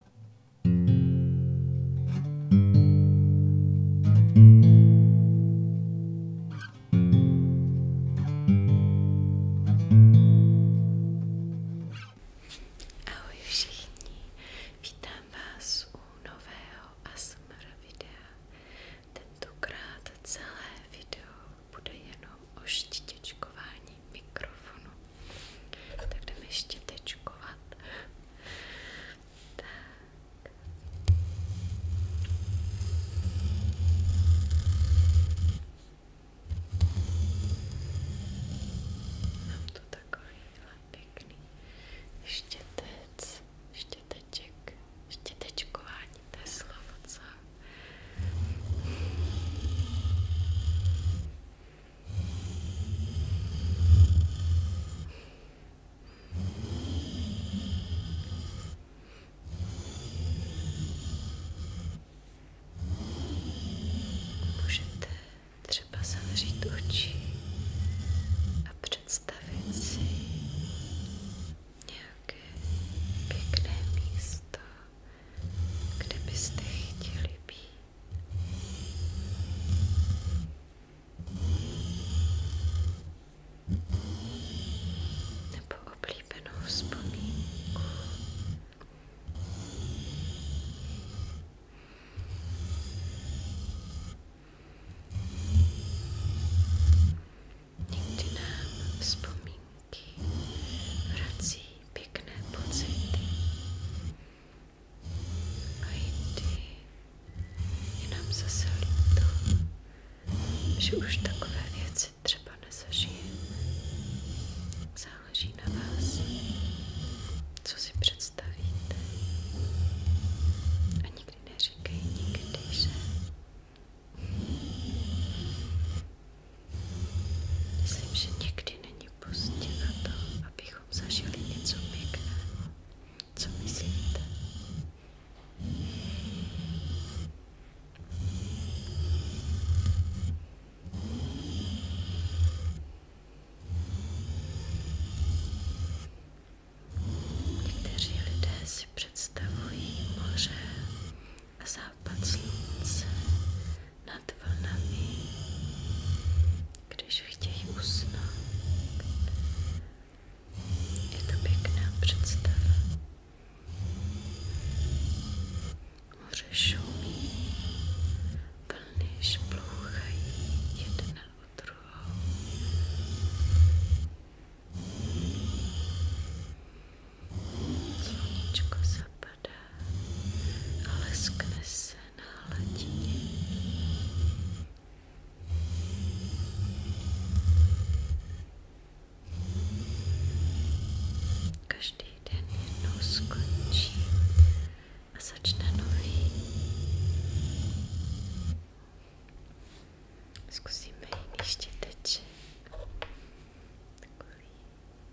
Ahoj všichni, vítám vás u nového ASMR videa. Tentokrát celé video bude jenom o štěťočkování fungování mikrofonu. Tak jdeme ještě tečkovat. Tak. Mám tu takovýhle pěkný štětec, štěteček, štětečkování, to je slovo, co? Můžete třeba zavřít oči a představit si nějaké pěkné místo, kde byste chtěli být nebo oblíbenou vzpomínku. Někdy nám vzpomínky vrací pěkné pocity. A jindy je nám zase líto, že už takové věci třeba nezažijeme. Záleží na vás, co si představíte. A nikdy neříkej nikdy, že Myslím, že někdy není pozdě na to, abychom zažili něco pěkného. Co myslíte? Někteří lidé si představují moře a západ slunce nad vlnami, když chtějí usnout. Je to pěkná představa. Moře šumí, vlny šplouchají jedna od druhou. Sluníčko zapadá a leskne se na hladině. Každý den jednou skončí a začne nový. Zkusíme jiný štěteček. Takový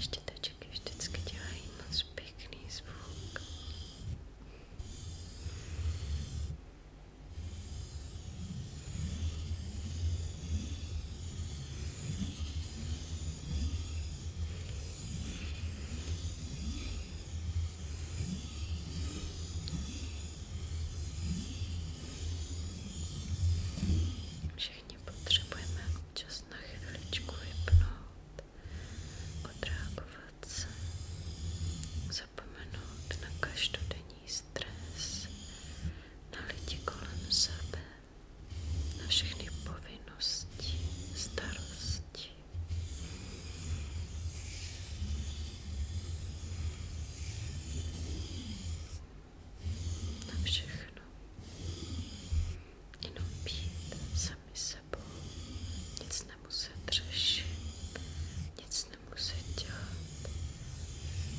Štětečky vždycky dělají moc pěkný zvuk. Všechny všichni potřebujeme občas na chviličku vypnout, odreagovat se, zapomenout na každodenní stres, na lidi kolem sebe, na všechny povinnosti, starosti na všechno. Jenom být sami sebou, nic nemuset řešit, nic nemuset dělat. Teď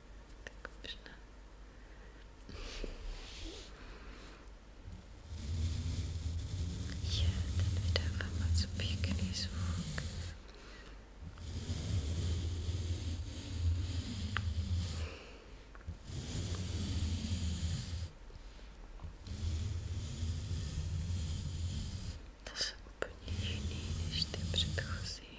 Tak už ne. Je, ten vydává moc pěkný zvuk. To jsou úplně jiný než ty předchozí.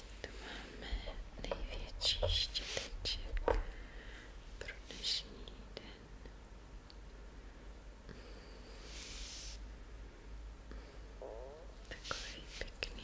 Teď tu máme největší štěteček pro dnešní den. Takový pěkný.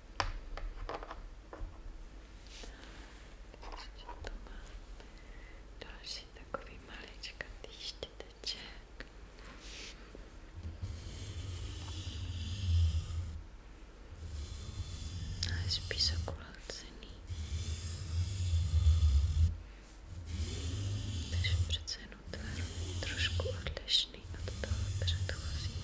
Takže tu máme další takový maličkatý štěteček. A je spíš okulacený. Takže přece jenom tvar trošku odlišný od toho předchozího.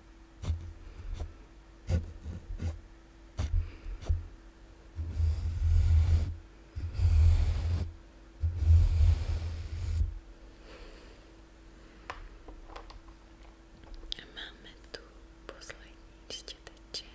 A máme tu poslední štěteček.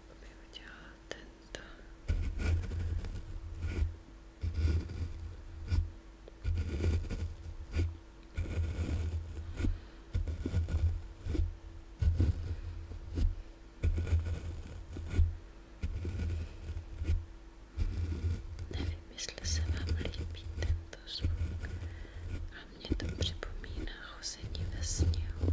bych udělala tento. Nevím, jestli se vám líbí tento zvuk a mě to připomíná chození ve sněhu.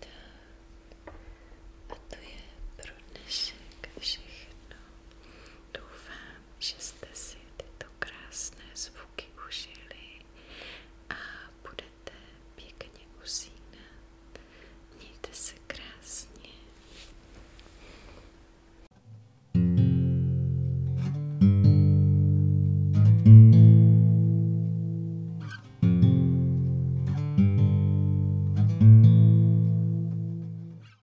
Tak. A to je pro dnešek všechno. Doufám, že jste si tyto krásné zvuky užili a budete pěkně usínat. Mějte se krásně.